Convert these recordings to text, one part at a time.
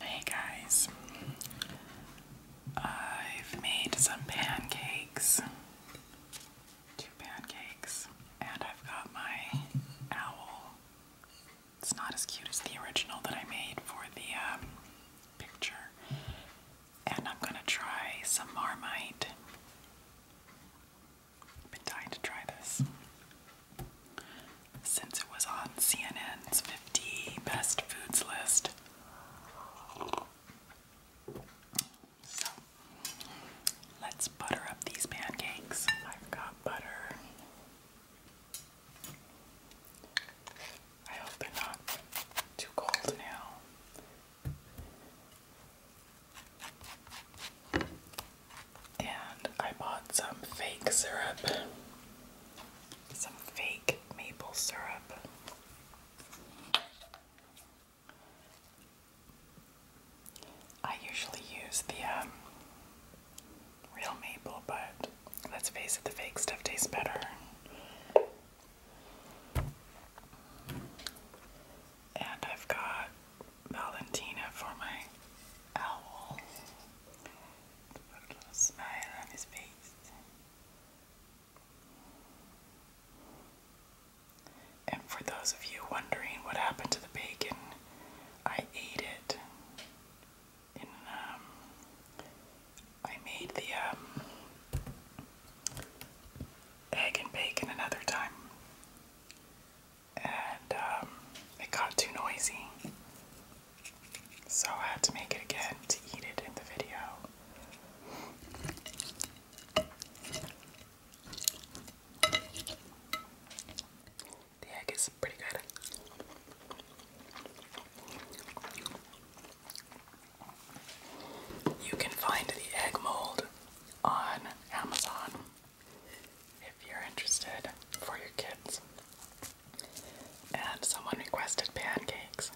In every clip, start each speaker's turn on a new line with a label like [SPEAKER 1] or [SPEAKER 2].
[SPEAKER 1] Hey guys, I've made some pancakes, two pancakes, and I've got my owl it's not as cute as the original that I made for the um, picture. And I'm gonna try some Marmite. I've dying to try this since it was on CNN's 50 best foods list. So let's butter up these pancakes. I've got butter. I hope they're not too cold now. And I bought some fake syrup. Some fake maple syrup. I usually use the um, real maple, but let's face it, the fake stuff tastes better. And I've got Valentina for my owl. Put a little smile on his face. And for those of you wondering what happened to the bacon, I ate it in um, I made the um, egg and bacon another time, and um, it got too noisy, so I had to make it again to eat it in the video. The egg is pretty good. You can find the egg mold on Amazon if you're interested for your kids. And someone requested pancakes.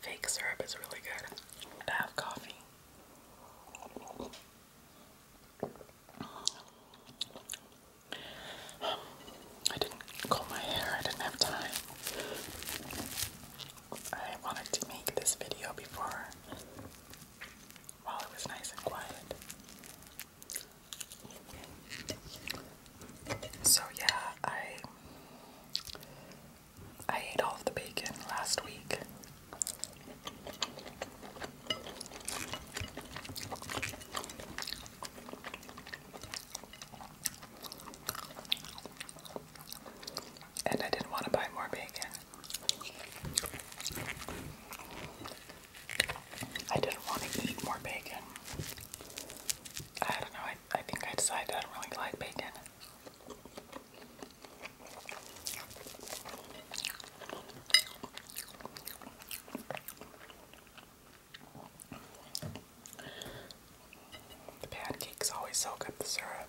[SPEAKER 1] Fake syrup is really good to have coffee. I didn't comb my hair, I didn't have time. I wanted to make this video before while it was nice and quiet. So yeah, I I ate all of the bacon last week. And I didn't want to buy more bacon. I didn't want to eat more bacon. I don't know, I, I think I decided I don't really like bacon. The pancakes always soak up the syrup.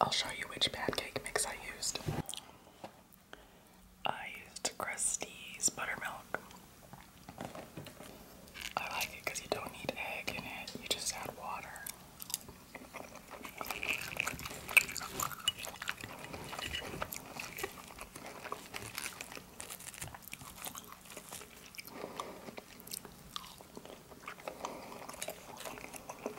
[SPEAKER 1] I'll show you which pancake mix I used. I used Krusty's buttermilk. I like it because you don't need egg in it, you just add water.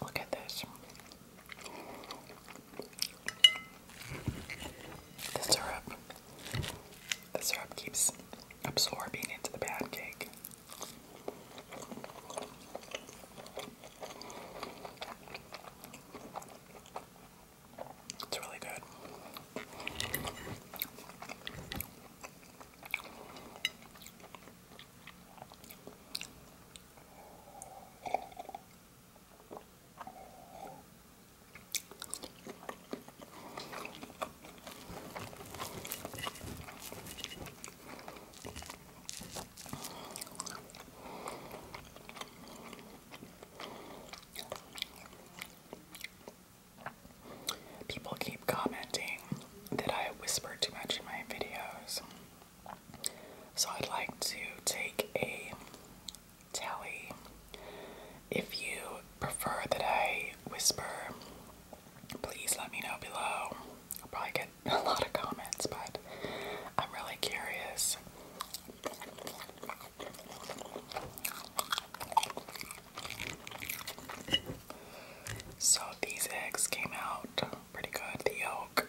[SPEAKER 1] Look at this. The syrup. The syrup keeps absorbing into the pancake. It's really good. People keep commenting that I whisper too much in my videos. So I'd like to take a tally. If you prefer that I whisper, please let me know below. I'll probably get a lot of comments, but I'm really curious. So these eggs came out pretty good. The yolk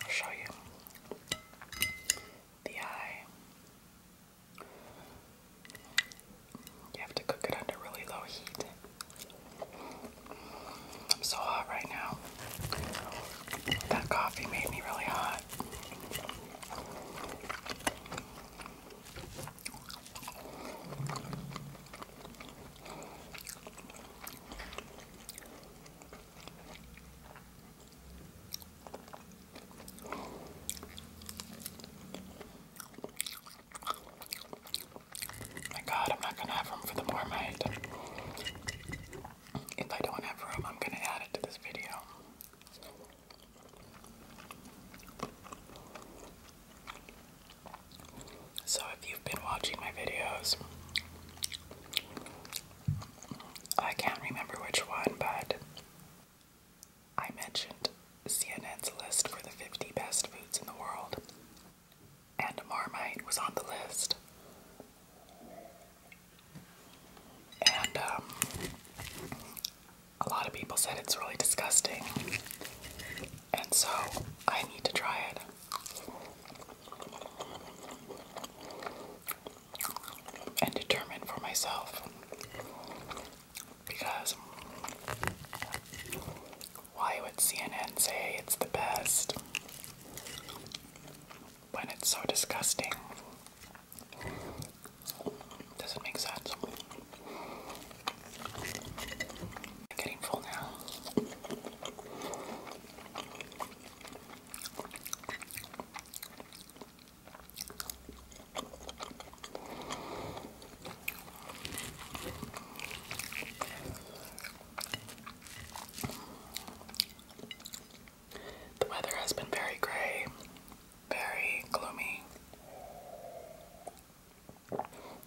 [SPEAKER 1] I'll show you the eye. You have to cook it under really low heat. I'm so hot right now. That coffee made me really hot. My God, I'm not gonna have room for the marmite. If I don't have room, I'm gonna add it to this video. So, if you've been watching my videos, I can't remember which one, but I mentioned CNN's list for the 50 best foods in the world, and Marmite was on the list. And um, a lot of people said it's really disgusting, and so I need to try it. And determine for myself because why would CNN say it's the best when it's so disgusting? Doesn't make sense. getting full now. The weather has been very gray, very gloomy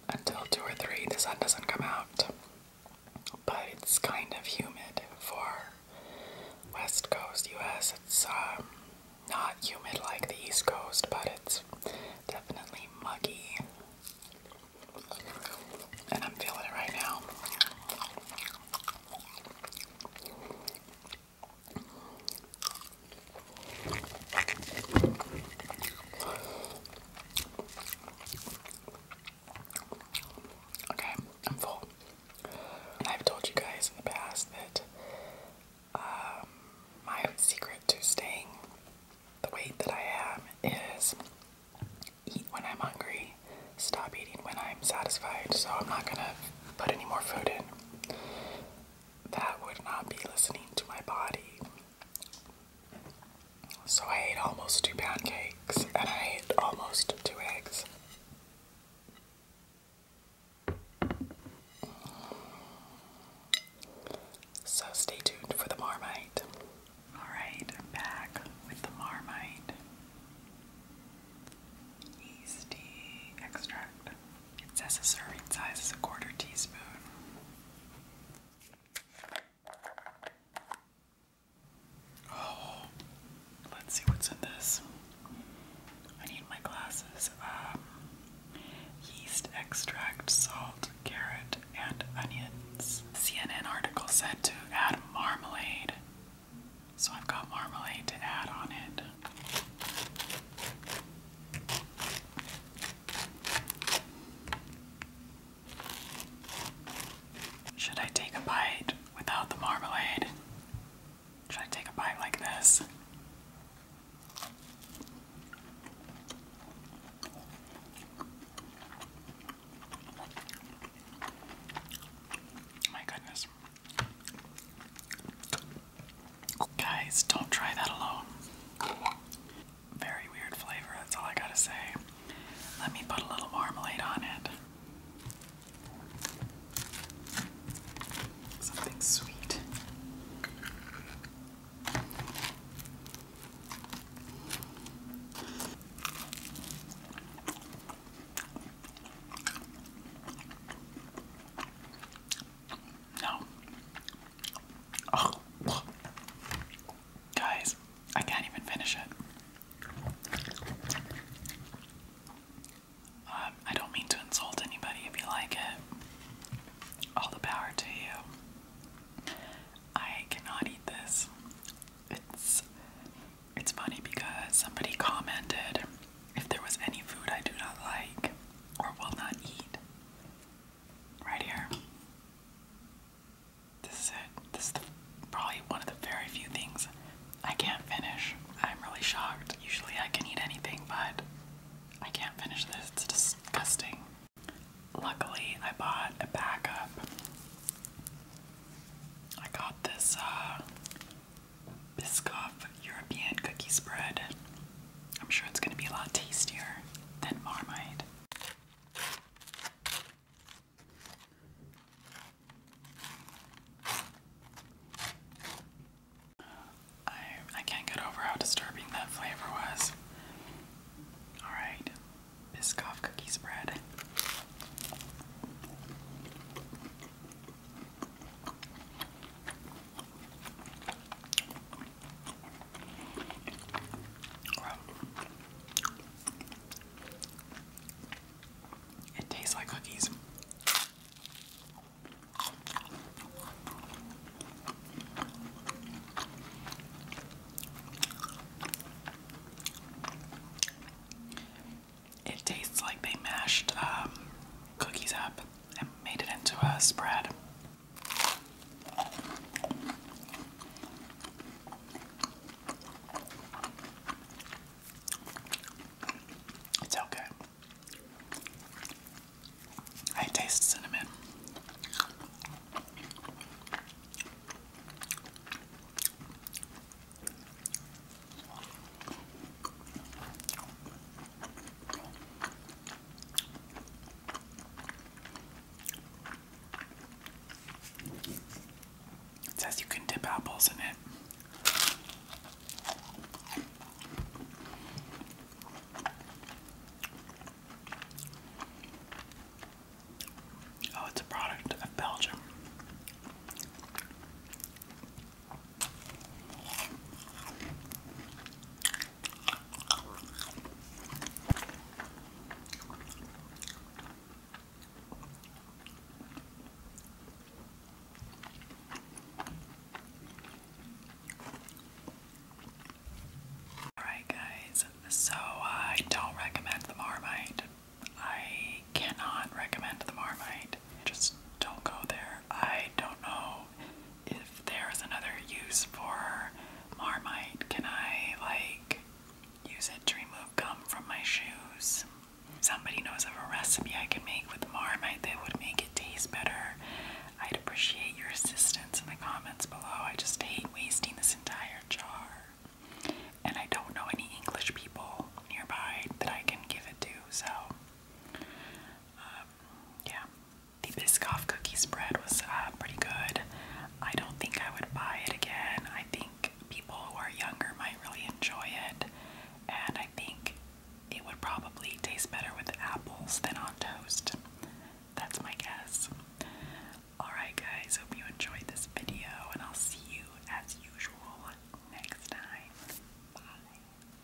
[SPEAKER 1] until 2 or 3, the sun doesn't come out. But it's kind of humid for West Coast US. It's um, not humid like the East Coast, but it's definitely muggy. And I'm feeling it right now. Okay, I'm full. I've told you guys in the past that um, my secret to staying the weight that I am is eat when I'm hungry, stop eating when I'm satisfied. So I'm not gonna put any more food in that would not be listening to my body. So I ate almost two pancakes, and I ate almost two eggs. So stay tuned for the marmite. Alright, I'm back with the marmite yeasty extract. It says the serving size is a quarter teaspoon. Oh, let's see what's in this. I need my glasses. Um, yeast extract, salt, carrot, and onions. CNN article said to add marmalade, so I've got marmalade to add on it. Should I take a bite without the marmalade? Should I take a bite like this? My goodness. Guys, don't try that alone. Very weird flavor, that's all I gotta say. Let me put a little marmalade on it. Something sweet. No. Guys, I can't even finish it. Um, I don't mean to insult anybody if you like it. All the power to you. I cannot eat this. It's it's funny because somebody commented if there was any food I do not like or will not eat, right here. This is it. This is probably one of the very few things I can't finish. I'm really shocked. Usually I can eat anything, but I can't finish this. It's disgusting. Luckily, I bought a backup. I got this uh, Biscoff European cookie spread. I'm sure it's going to be a lot tastier than Marmite. I, I can't get over how disturbing that flavor was. Alright, Biscoff cookie spread. It tastes like cookies. It tastes like they mashed um, cookies up and made it into a spread. It's okay. I taste cinnamon. It says you can dip apples in it. Oh, it's a product of Belgium. Alright, guys, so uh, I don't recommend the Marmite. I cannot recommend the Marmite. Just don't go there. I don't know if there's another use for marmite. Can I, like, use it to remove gum from my shoes? Somebody knows of a recipe I can make with marmite that would make it taste better. I'd appreciate your assistance in the comments below. I just hate wasting this entire jar. And I don't know any English people nearby that I can give it to, so uh, yeah. The biscuit cookie spread was uh, pretty good. I don't think I would buy it again. I think people who are younger might really enjoy it, and I think it would probably taste better with apples than on toast. That's my guess. Alright, guys, hope you enjoyed this video, and I'll see you as usual next time. Bye.